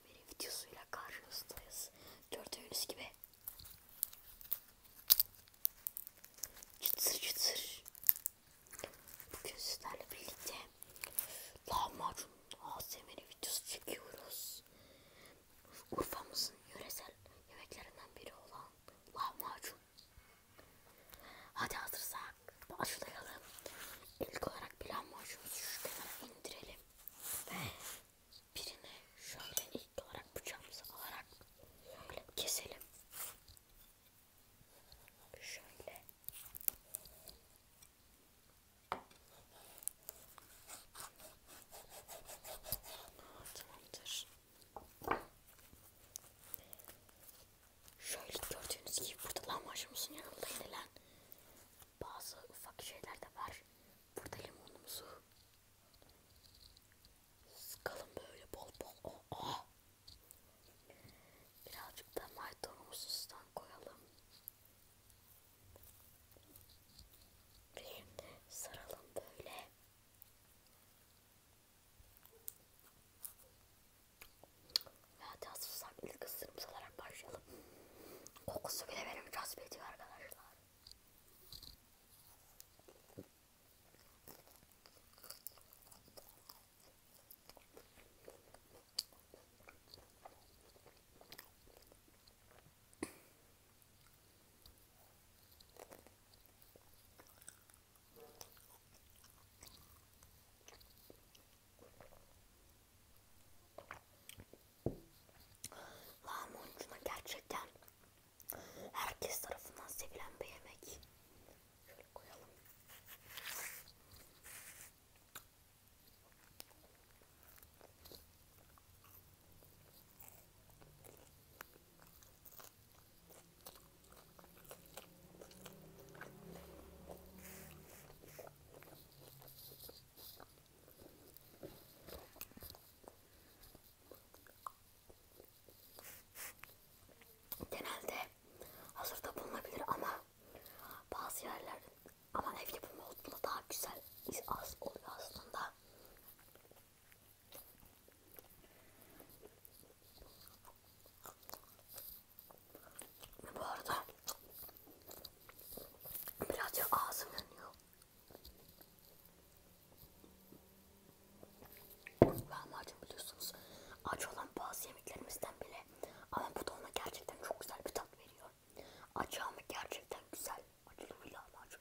ASMR videosuyla karşınızdayız. Gördüğünüz gibi çıtır çıtır. Bugün sizlerle birlikte lahmacun ASMR videosu çekiyoruz. Urfa'mızın yöresel yemeklerinden biri olan lahmacun. Hadi hazırsak başlayalım. İlk olarak bir lahmacunumuzu şu kenara indirelim. Ve birini şöyle ilk olarak bıçağımızı alarak şöyle keselim. Şöyle. Tamamdır. Şöyle gördüğünüz gibi burada lahmacunumuzun yanında yenilen bazı ufak şeyler de var. Burada limonumuzu sıkalım böyle bol bol. Oh, oh. Birazcık da maydanozumuzdan koyalım. Bir saralım böyle. Zaten susam ilk ısırımız olarak başlayalım. Kokusu bile beni cazip ediyor arkadaşlar. Lahmucuna gerçekten herkes tarafından sevilen bir yemek. Şöyle koyalım. Genelde hazırda bulunabilir ama bazı yerler ama ev yapımı olduğunda daha güzel az oluyor aslında. Bu arada birazcık ağzım yanıyor. Lahmacun biliyorsunuz acı olan bazı yemeklerimizden bile ama bu da ona gerçekten çok güzel bir tat veriyor. Acı ama gerçekten güzel. Acılı bir lahmacun.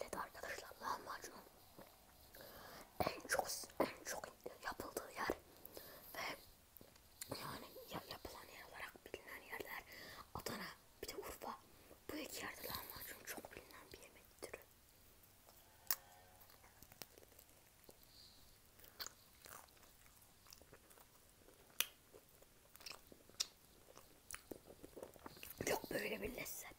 Evet arkadaşlar lahmacun en çok en çok yapıldığı yer ve yani yapılan yer olarak bilinen yerler Adana bir de Urfa bu iki yerde lahmacun çok bilinen bir yemek türü. Yok böyle bir lezzet.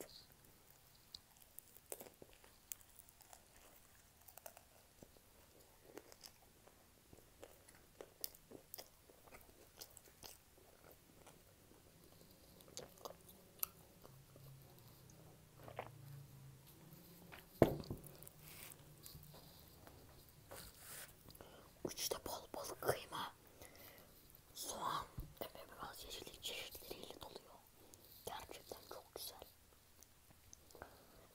Üçte bol balık kıyma, soğan ve biraz yeşillik çeşitleriyle doluyor. Gerçekten çok güzel.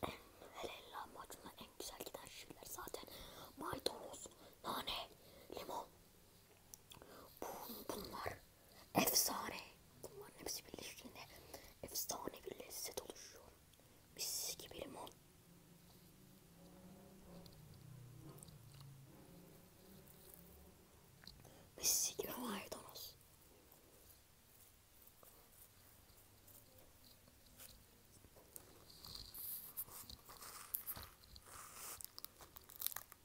En, hele lahmacunla en güzel giden şeyler zaten maydanoz, nane, limon Bunlar efsane. Bunların hepsi birleştiğinde efsane bir lezzet oluşuyor. Mis gibi limon. Mis gibi maydanoz.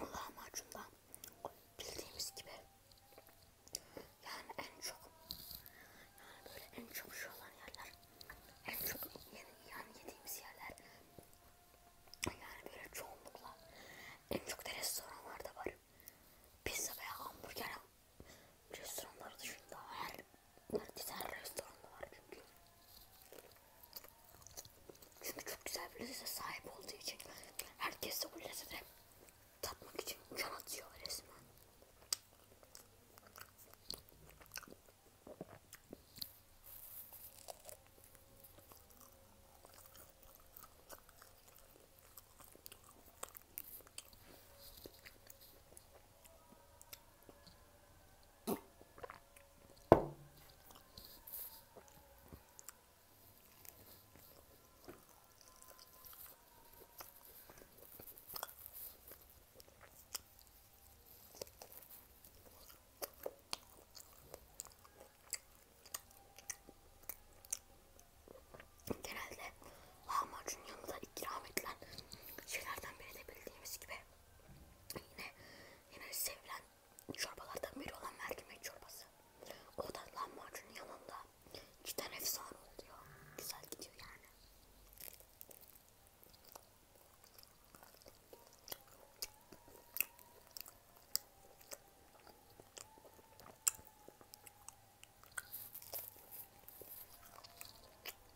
lahmacundan bildiğimiz gibi yani en çok yani böyle en çok şu olan yerler en çok yeni, yani yediğimiz yerler yani böyle çoğunlukla en çok da restoranlarda var pizza veya hamburger restoranları dışında her güzel restoran var çünkü. Çünkü çok güzel bir lezzete sahip olduğu için herkes de bu lezzete tatmak için can atıyor resmen. Genelde lahmacun yanında ikram edilen şeylerden biri de bildiğimiz gibi Yine yine sevilen çorbalardan biri olan mercimek çorbası. O da lahmacunun yanında iki tane efsane oluyor. Güzel gidiyor yani.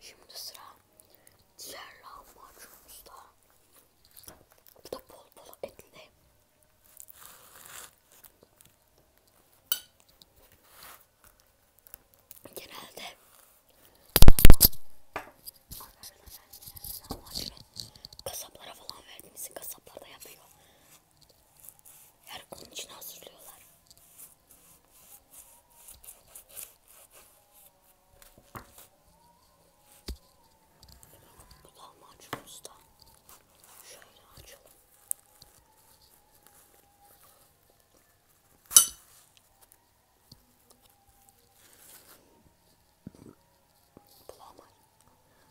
Şimdi sıra diğer lahmacunumuzda. Bu da bol bol etli. Genelde Kasaplara falan verdiğimizi kasaplar da yapıyor. Yani onun için hazırlıyorlar. Bu lahmacunumuz da şöyle açalım. Bulamay.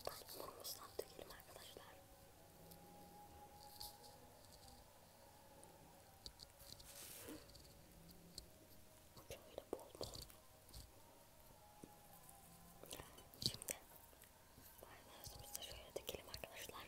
Belki mumumuzdan dökelim arkadaşlar. Şöyle bol bol. Şimdi mayonezimizi şöyle dökelim arkadaşlar.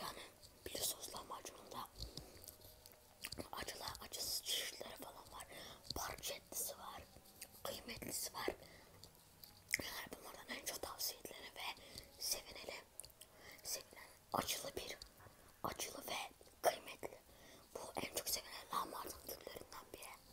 Yani bir sosla macununda acılar, acısız çeşitleri falan var. Parçetlisi var, kıymetlisi var. Yani bunlardan en çok tavsiye edilen ve sevineli, sevilen acılı bir, acılı ve kıymetli. Bu en çok sevilen lahmacun türlerinden biri.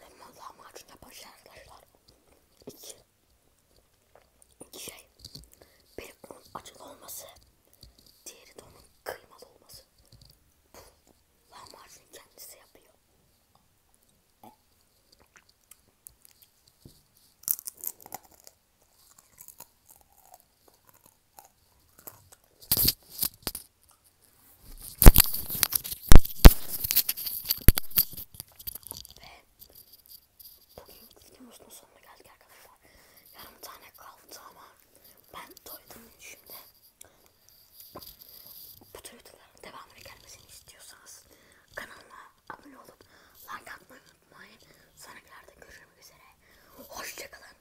Benim Allah macun yapan şey arkadaşlar. İki. İki şey. Biri onun acılı olması. Diğeri de onun kıymalı olması. Bu lahmacun kendisi yapıyor. Ve bugünkü videomuzun sonuna geldik arkadaşlar. Yarım tane kaldı ama ben doydum şimdi. Bu tür videoların devamını gelmesini istiyorsanız kanalıma abone olup like atmayı unutmayın. Sonrakilerde görüşmek üzere. Hoşçakalın.